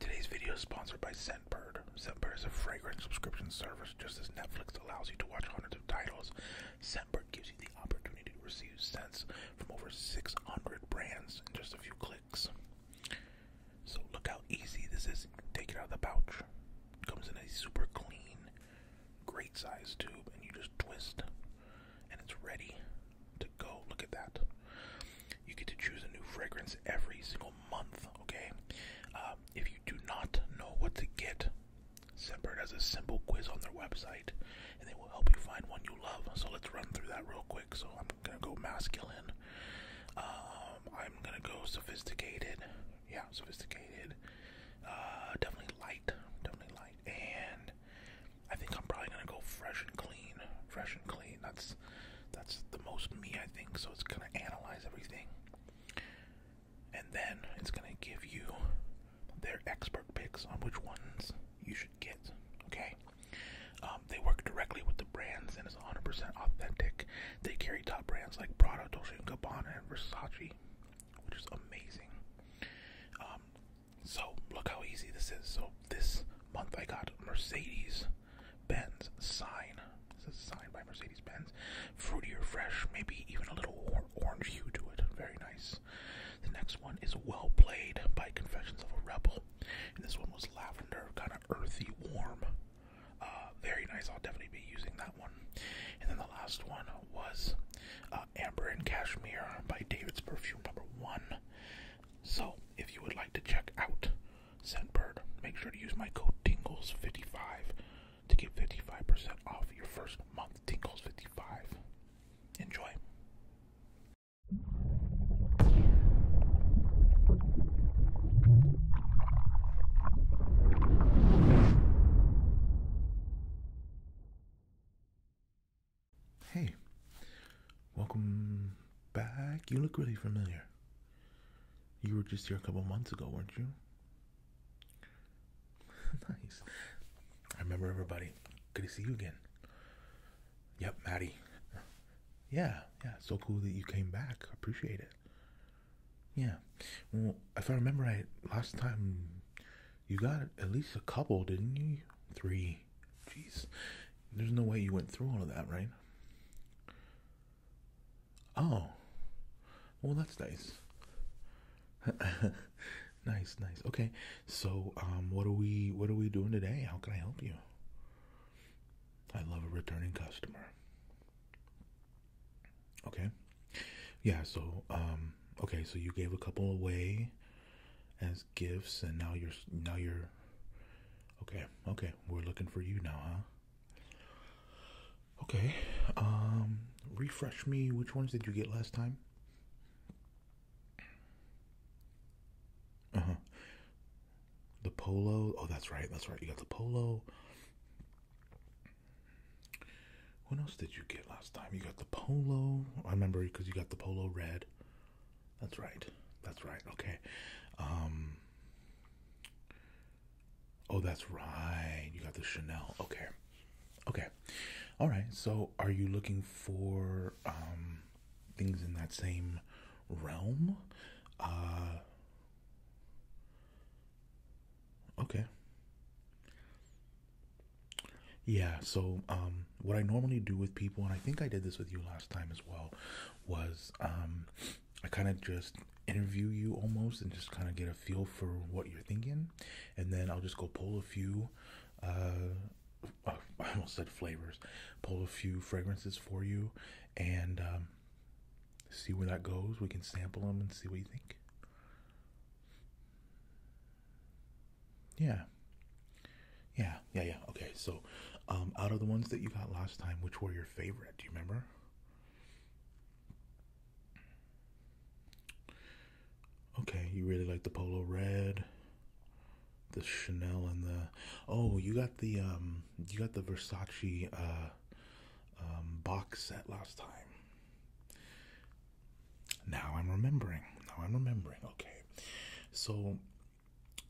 Today's video is sponsored by Scentbird. Scentbird is a fragrance subscription service. Just as Netflix allows you to watch hundreds of titles, Scentbird gives you the opportunity to receive scents from over 600 brands in just a few clicks. So look how easy this is. Take it out of the pouch. comes in a super clean, great size tube, and you just twist, and it's ready to go. Look at that. You get to choose a new fragrance every single month, okay? Uh, if you do not know what to get, Scentbird has a simple quiz on their website, and they will help you find one you love. So let's run through that real quick. So I'm gonna go masculine. Um, I'm gonna go sophisticated. Yeah, sophisticated. Uh, definitely light. Definitely light. And I think I'm probably gonna go fresh and clean. Fresh and clean. That's that's the most me I think. So it's gonna analyze everything, and then it's gonna give you their expert picks on which ones you should get. Okay, um, they work directly with the brands and is 100% authentic. They carry top brands like Prada, Dolce & Gabbana, and Versace, which is amazing. Um, so look how easy this is. So this month I got Mercedes Benz sign. This is a sign by Mercedes Benz. Fruity or fresh, maybe even a little orange hue to it. Very nice. The next one is Well Played by Confessions of a Rebel. this one was lavender, kind of earthy, warm. Uh, very nice. I'll definitely be using that one. And then the last one was uh, Amber and Cashmere by David's Perfume number one. So, if you would like to check out Scentbird, make sure to use my code Tingles55 to get 55% off your first month. Tingles55. Enjoy. Hey, welcome back. You look really familiar. You were just here a couple months ago, weren't you? nice. I remember everybody. Good to see you again. Yep, Maddie. Yeah, yeah, so cool that you came back. Appreciate it. Yeah. Well, if I remember right, last time you got at least a couple, didn't you? Three, Jeez. There's no way you went through all of that, right? Oh. Well, that's nice. nice, nice. Okay. So, um what are we what are we doing today? How can I help you? I love a returning customer. Okay. Yeah, so um okay, so you gave a couple away as gifts, and now you're now you're okay. Okay, we're looking for you now, huh? Okay. Um, refresh me. Which ones did you get last time? Uh huh. The polo. Oh, that's right. That's right. You got the polo. What else did you get last time? You got the polo. I remember because you got the polo red. That's right. That's right. Okay. Um, oh, that's right. You got the Chanel. Okay. Okay. All right. So, are you looking for um, things in that same realm? Uh, okay. Yeah. So, um, what I normally do with people, and I think I did this with you last time as well, was um, I kind of just interview you almost and just kind of get a feel for what you're thinking, and then I'll just go pull a few. Uh, I almost said flavors. Pull a few fragrances for you, and um, see where that goes. We can sample them and see what you think. Yeah. Yeah, yeah, yeah. Okay, so um, out of the ones that you got last time, which were your favorite? Do you remember? Okay, you really like the polo red, the Chanel, and the oh, you got the um, you got the Versace uh, um, box set last time. Now I'm remembering. Now I'm remembering. Okay, so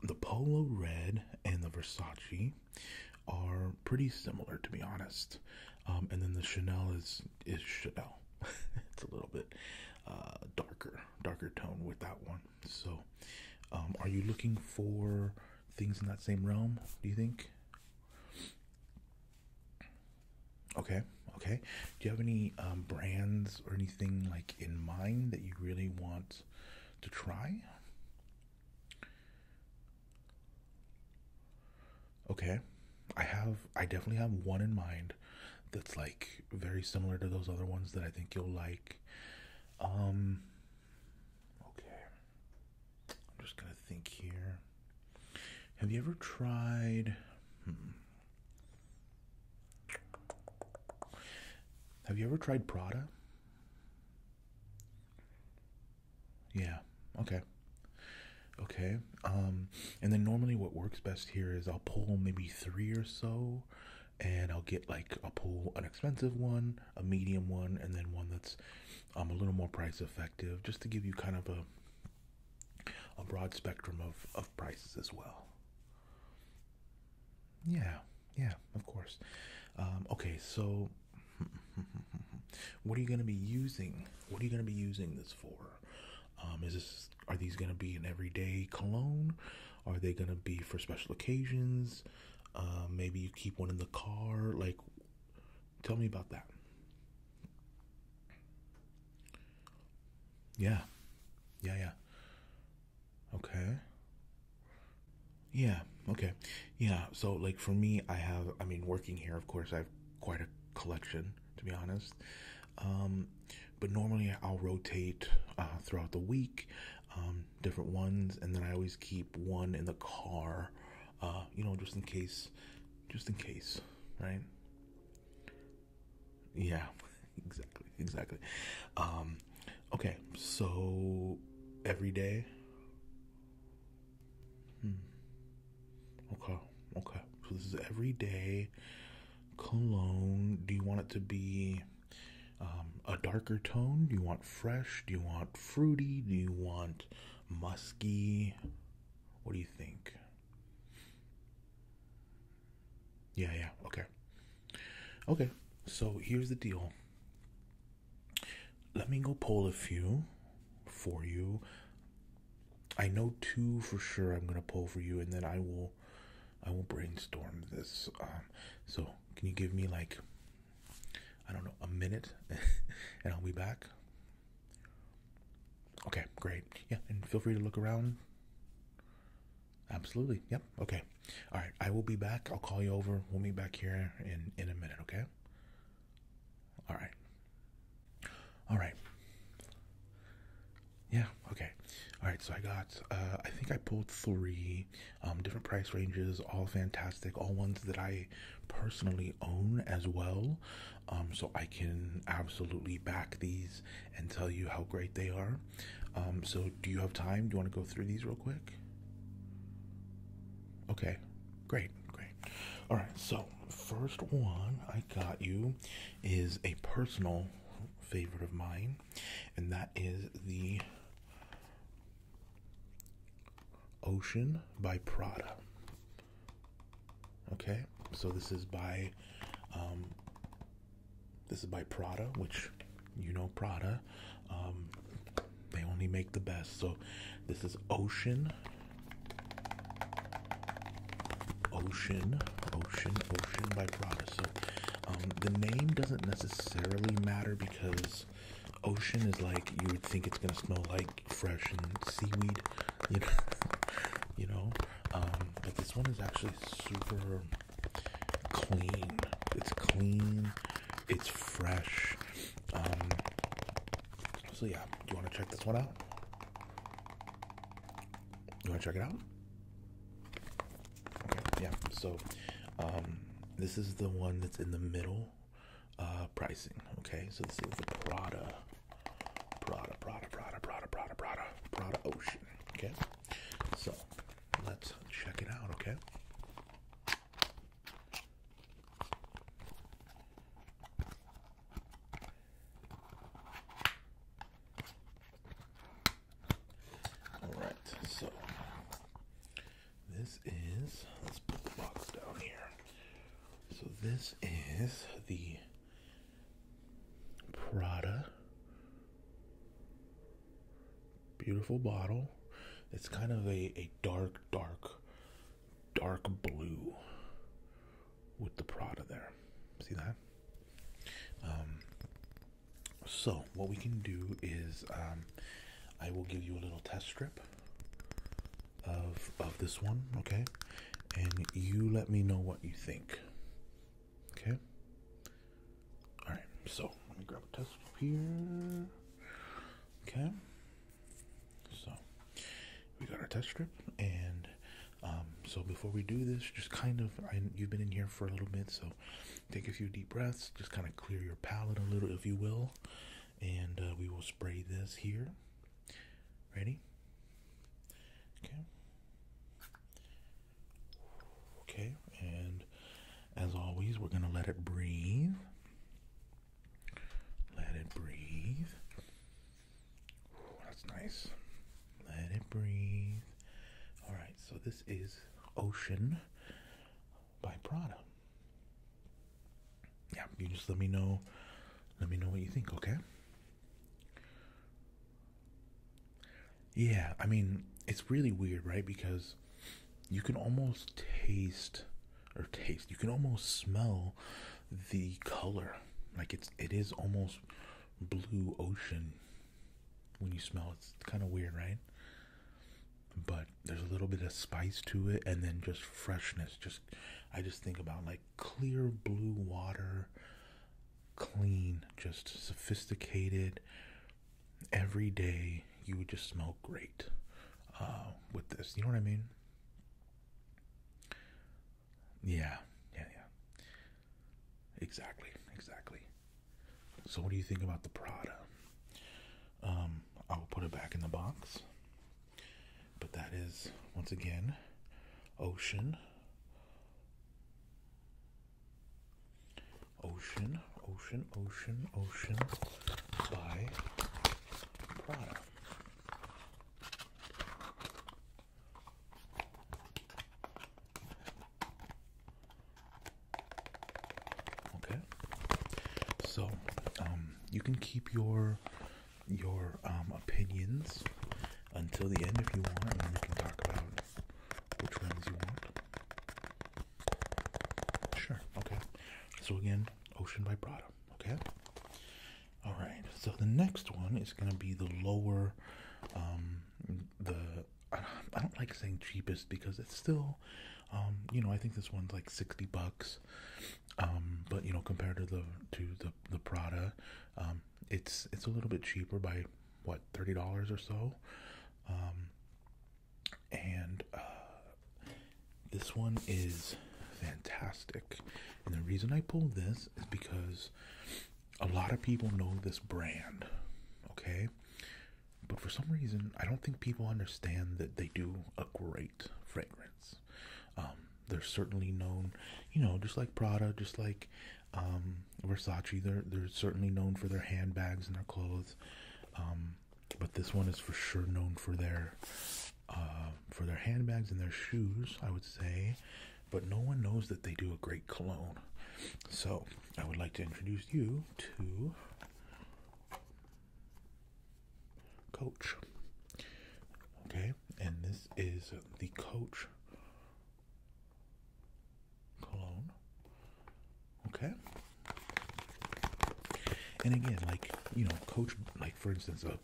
the Polo Red and the Versace are pretty similar, to be honest. Um, and then the Chanel is is Chanel. it's a little bit uh, darker, darker tone with that one. So, um, are you looking for things in that same realm? Do you think? Okay, okay. Do you have any um, brands or anything like in mind that you really want to try? Okay. I have I definitely have one in mind that's like very similar to those other ones that I think you'll like. Um okay. I'm just going to think here. Have you ever tried hmm, have you ever tried Prada? Yeah. Okay. Okay. Um, and then normally what works best here is I'll pull maybe 3 or so and I'll get like I'll pull an expensive one, a medium one and then one that's um a little more price effective just to give you kind of a a broad spectrum of of prices as well. Yeah, yeah, of course. Um, okay, so what are you going to be using? What are you going to be using this for? Um, is this are these going to be an everyday cologne? Are they going to be for special occasions? Um, maybe you keep one in the car. Like, tell me about that. Yeah. Yeah, yeah. Okay. Yeah, okay. Yeah, so like for me, I have, I mean, working here, of course, I have quite a collection, to be honest. Um, but normally I'll rotate uh, throughout the week, um, different ones, and then I always keep one in the car, uh, you know, just in case, just in case, right? Yeah, exactly, exactly. Um, okay, so every day. Hmm. Okay, okay. So this is everyday cologne. Do you want it to be um, a darker tone? Do you want fresh? Do you want fruity? Do you want musky? What do you think? Yeah, yeah, okay. Okay, so here's the deal. Let me go pull a few for you. I know two for sure I'm gonna pull for you, and then I will, I will brainstorm this. Um, so can you give me like, I don't know, a minute, and I'll be back. Okay, great. Yeah, and feel free to look around. Absolutely. Yep. Okay. All right. I will be back. I'll call you over. We'll meet back here in in a minute. Okay. All right. All right. Yeah. Okay. All right. So I got. Uh, I think I pulled three um, different price ranges. All fantastic. All ones that I personally own as well. Um, so I can absolutely back these and tell you how great they are. Um, so, do you have time? Do you want to go through these real quick? Okay, great, great. All right, so first one I got you is a personal favorite of mine, and that is the Ocean by Prada. Okay, so this is by um, this is by Prada, which you know Prada. Um, they only make the best. So this is Ocean, Ocean, Ocean, Ocean by Prada. So um, the name doesn't necessarily matter because Ocean is like you would think it's gonna smell like fresh and seaweed, you know. you know, um, but this one is actually super clean. It's clean. It's fresh. Um, so yeah, do you want to check this one out? You want to check it out? Okay, yeah. So, um, this is the one that's in the middle uh, pricing. Okay, so this is the Prada Prada, Prada, Prada, Prada, Prada, Prada, Prada Ocean. Okay, so let's check it out. Okay. All right, so this is let's put the box down here. So this is the Prada. Beautiful bottle. It's kind of a, a dark, dark, dark blue with the Prada there. See that? Um, so, what we can do is um, I will give you a little test strip of, of this one, okay? and you let me know what you think. Okay? Alright, so let me grab a test here. Okay? So, we got our test strip, and um, so before we do this, just kind of, you've been in here for a little bit, so take a few deep breaths, just kind of clear your palate a little, if you will, and uh, we will spray this here. Ready? Okay. Okay, and as always, we're going to let it breathe. Let it breathe. that's nice. Let it breathe. All right, so this is Ocean by Prada. Yeah, you just let me know. Let me know what you think, okay? Yeah, I mean, it's really weird, right? Because you can almost taste or taste, you can almost smell the color. Like it's it is almost blue ocean when you smell it. It's kind of weird, right? But there's a little bit of spice to it and then just freshness. Just I just think about like clear blue water, clean, just sophisticated. Every day you would just smell great uh, with this. You know what I mean? Yeah, yeah, yeah. Exactly, exactly. So, what do you think about the Prada? Um, I'll put it back in the box. But that is, once again, ocean. Ocean, Ocean, Ocean, Ocean by Prada. Okay. So, um, you can keep your your um, opinions until the end if you want, we can talk about which ones you want. Sure, okay. So, again, ocean vibrato, okay? All right, so the next one is going to be the lower, um, the I don't like saying cheapest because it's still, um, you know, I think this one's like sixty bucks, um, but you know, compared to the to the the Prada. Um, it's it's a little bit cheaper by what thirty dollars or so, um, and uh, this one is fantastic. And the reason I pulled this is because a lot of people know this brand, okay? But for some reason, I don't think people understand that they do a great fragrance. Um, they're certainly known, you know, just like Prada, just like um, Versace. They're they're certainly known for their handbags and their clothes. Um, but this one is for sure known for their uh, for their handbags and their shoes. I would say, but no one knows that they do a great cologne. So I would like to introduce you to coach. Okay, and this is the Coach cologne. Okay, and again, like you know, Coach, like for instance, a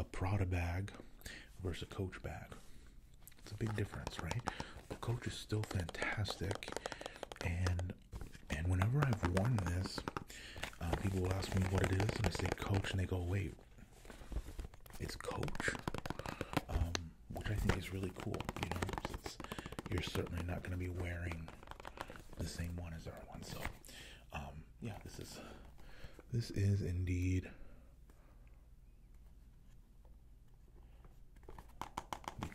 a Prada bag versus a Coach bag. It's a big difference, right? The Coach is still fantastic, and and whenever I've worn this, uh, people will ask me what it is, and I say Coach, and they go, wait, it's Coach? Um, which I think is really cool, you know, you're certainly not going to be wearing the same one as our one. So, um, yeah, this is, this is indeed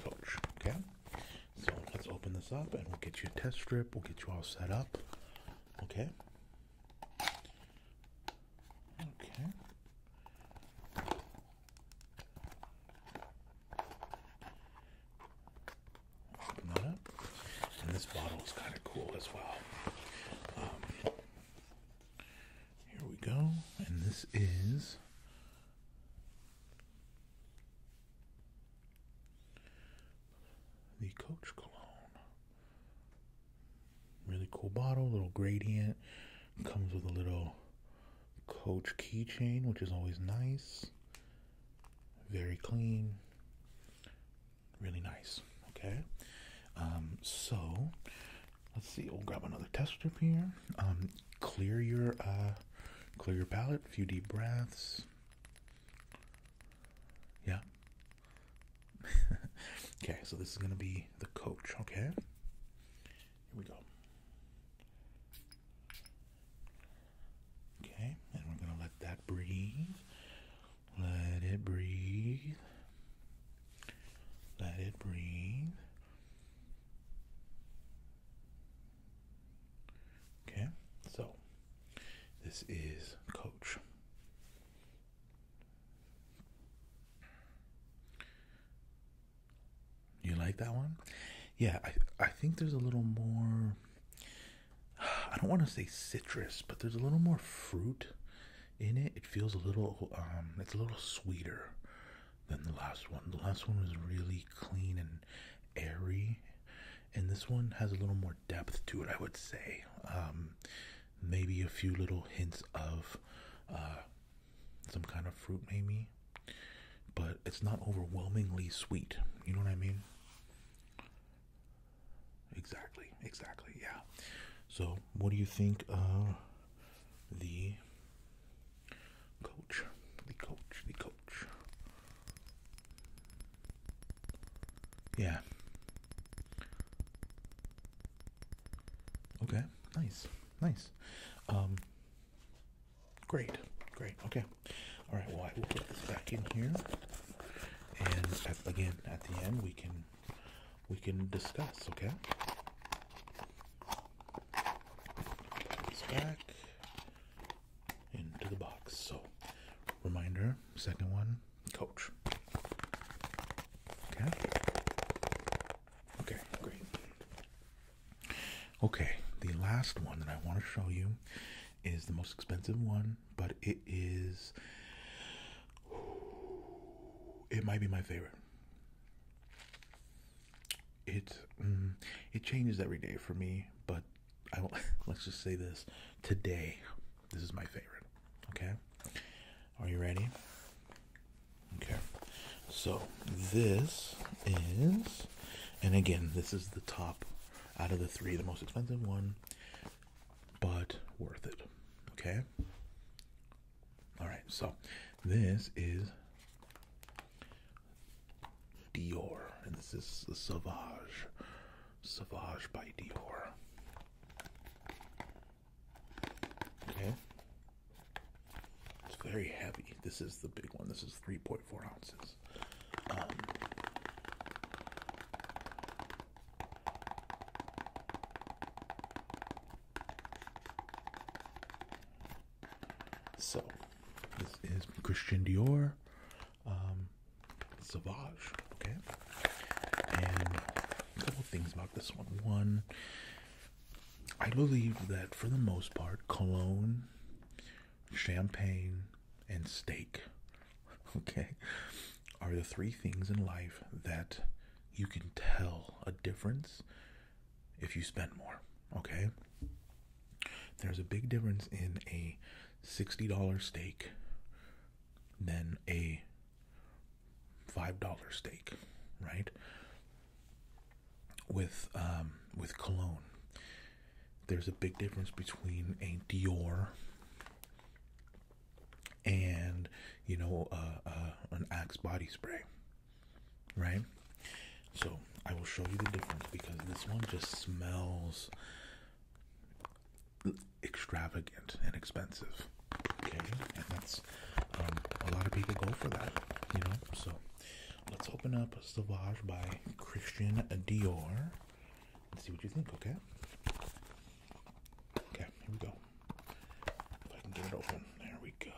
Coach, okay? So let's open this up, and we'll get you a test strip, we'll get you all set up. Okay. Okay. Open that up. And this bottle is kind of cool as well. Um, here we go. And this is the Coach Cologne. Really cool bottle, little gradient. Comes with a little Coach keychain, which is always nice. Very clean. Really nice. Okay. Um, so, let's see. We'll grab another test strip here. Um, clear your uh, clear your palate. A few deep breaths. Yeah. okay, so this is going to be the coach, okay? Here we go. Okay, and we're going to let that breathe. Let it breathe. Let it breathe. Okay, so this is coach. You like that one? Yeah, I I think there's a little more I don't want to say citrus, but there's a little more fruit in it. It feels a little um it's a little sweeter than the last one. The last one was really clean and airy and this one has a little more depth to it, I would say. Um, maybe a few little hints of uh, some kind of fruit, maybe, but it's not overwhelmingly sweet. You know what I mean? Exactly, exactly, yeah. So, what do you think of the coach? The coach, the coach. Yeah. Okay. Nice. Nice. Um. Great. Great. Okay. All right. Well, I will put this back in here, and again at the end we can we can discuss. Okay. Put back into the box. So, reminder second one, coach. Okay. Okay, great. Okay, the last one that I want to show you is the most expensive one, but it is. It might be my favorite. It mm, it changes every day for me, but let's just say this today. This is my favorite. Okay, are you ready? Okay, so this is, and again, this is the top out of the three, the most expensive one, but worth it. Okay, all right, so this is Dior, and this is the Sauvage, Sauvage by Dior. Okay, it's very heavy. This is the big one. This is three point four ounces. Um, so, this is Christian Dior um, Savage. Okay, and a couple things about this one. One, I believe that for the most part, cologne, champagne, and steak, okay, are the three things in life that you can tell a difference if you spend more. Okay, there's a big difference in a $60 stake than a $5 stake, right? With um, with cologne. There's a big difference between a Dior and you know uh, uh an Axe body spray, right? So I will show you the difference because this one just smells extravagant and expensive. Okay, and that's um, a lot of people go for that, you know. So let's open up Sauvage by Christian Dior and see what you think. Okay. Okay, here we go. If I can get it open, there we go.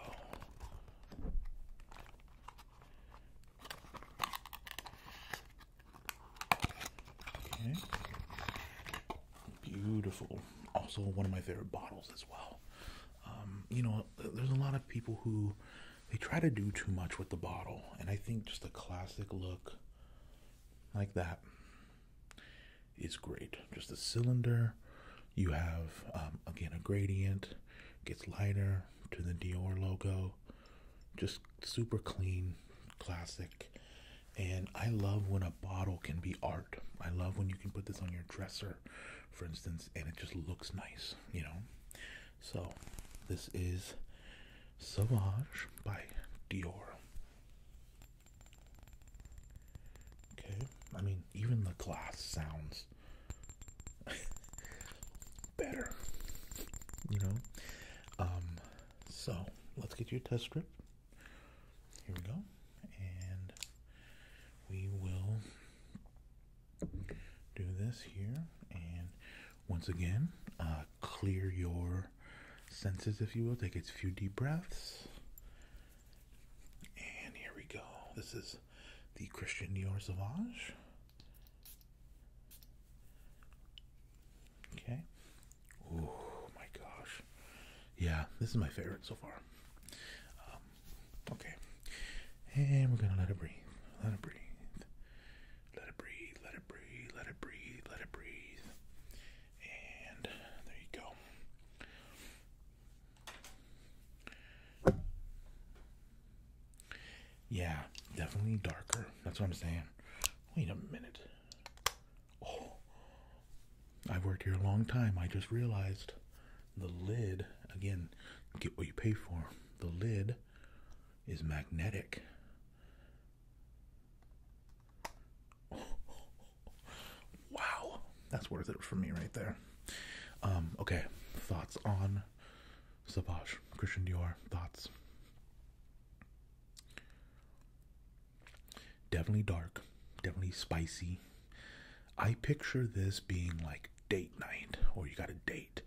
Okay. Beautiful. Also, one of my favorite bottles as well. Um, you know, there's a lot of people who they try to do too much with the bottle, and I think just a classic look like that is great. Just a cylinder. You have um, again a gradient, gets lighter to the Dior logo. Just super clean, classic. And I love when a bottle can be art. I love when you can put this on your dresser, for instance, and it just looks nice, you know? So, this is Sauvage by Dior. Okay, I mean, even the glass sounds better. You know? Um, so let's get your test strip. Here we go. And we will do this here. And once again, uh, clear your senses, if you will. Take a few deep breaths. And here we go. This is the Christian Dior Sauvage. Okay. Oh my gosh. Yeah, this is my favorite so far. Um, okay. And we're going to let it breathe. Let it breathe. Let it breathe. Let it breathe. Let it breathe. Let it breathe. And there you go. Yeah, definitely darker. That's what I'm saying. Wait a minute. Oh, I've worked here a long time. I just realized the lid, again, get what you pay for. The lid is magnetic. wow, that's worth it for me right there. Um, okay, thoughts on Savage, Christian Dior, thoughts. Definitely dark, definitely spicy. I picture this being like date night, or you got a date.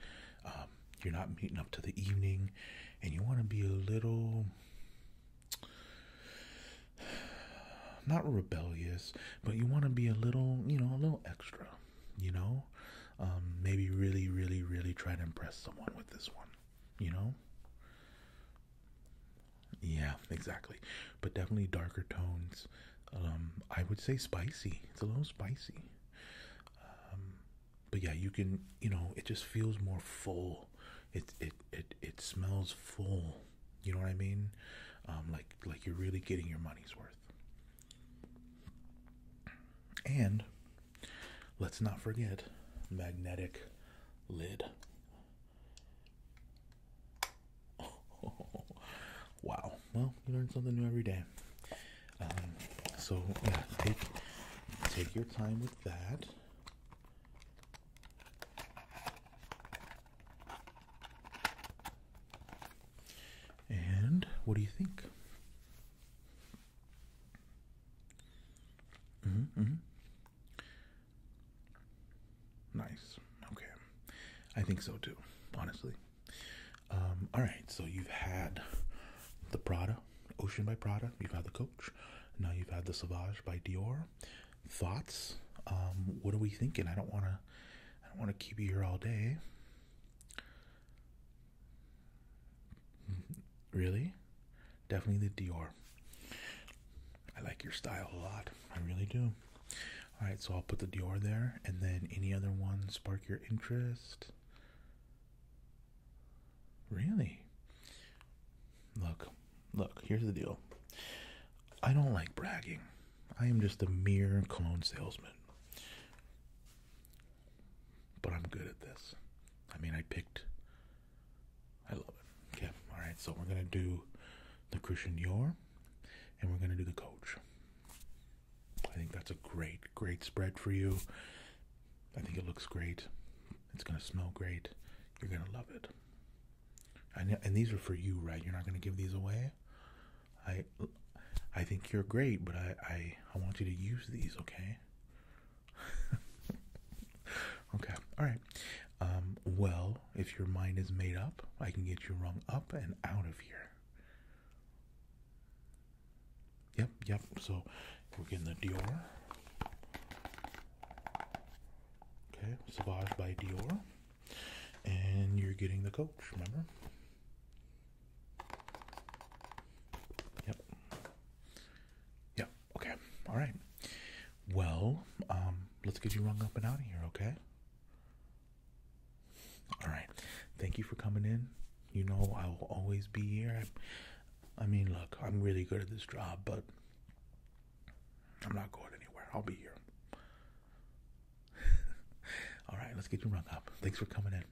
Um, you're not meeting up to the evening, and you want to be a little not rebellious, but you want to be a little, you know, a little extra you know? Um, maybe really, really, really try to impress someone with this one, you know? Yeah, exactly. But definitely darker tones. Um, I would say spicy. It's a little spicy. Um, but yeah, you can, you know, it just feels more full. It it it it smells full. You know what I mean? like like you're really getting your money's worth. And let's not forget magnetic lid. wow. Well, you learn something new every day. Um, so yeah, take take your time with that. And what do you think? -hmm. Nice. Okay. I think so too, honestly. Um, all right. So you've had the Prada, Ocean by Prada. You've had the Coach. Now you've had the Sauvage by Dior. Thoughts? Um, what are we thinking? I don't want to. I don't want to keep you here all day. Really? Definitely the Dior. I like your style a lot. I really do. Alright, so I'll put the Dior there, and then any other one spark your interest? Really? Look, look, here's the deal. I don't like bragging. I am just a mere cologne salesman. But I'm good at this. I mean, I picked. I love it. Yeah. alright, so we're gonna do the Christian Dior and we're gonna do the coach. I think that's a great, great spread for you. I think it looks great. It's gonna smell great. You're gonna love it. and these are for you, right? You're not gonna give these away? I I think you're great, but I I, want you to use these, okay? okay, all right. Um, well, if your mind is made up, I can get you rung up and out of here. Yep, yep. So we're getting the Dior. Okay, Sauvage by Dior and you're getting the coach, remember? Yep. Yep. Okay. All right. Well, um, let's get you rung up and out of here, okay? All right. Thank you for coming in. You know I will always be here. I mean, look, I'm really good at this job, but I'm not going anywhere. I'll be here. All right, let's get you rung up. Thanks for coming in.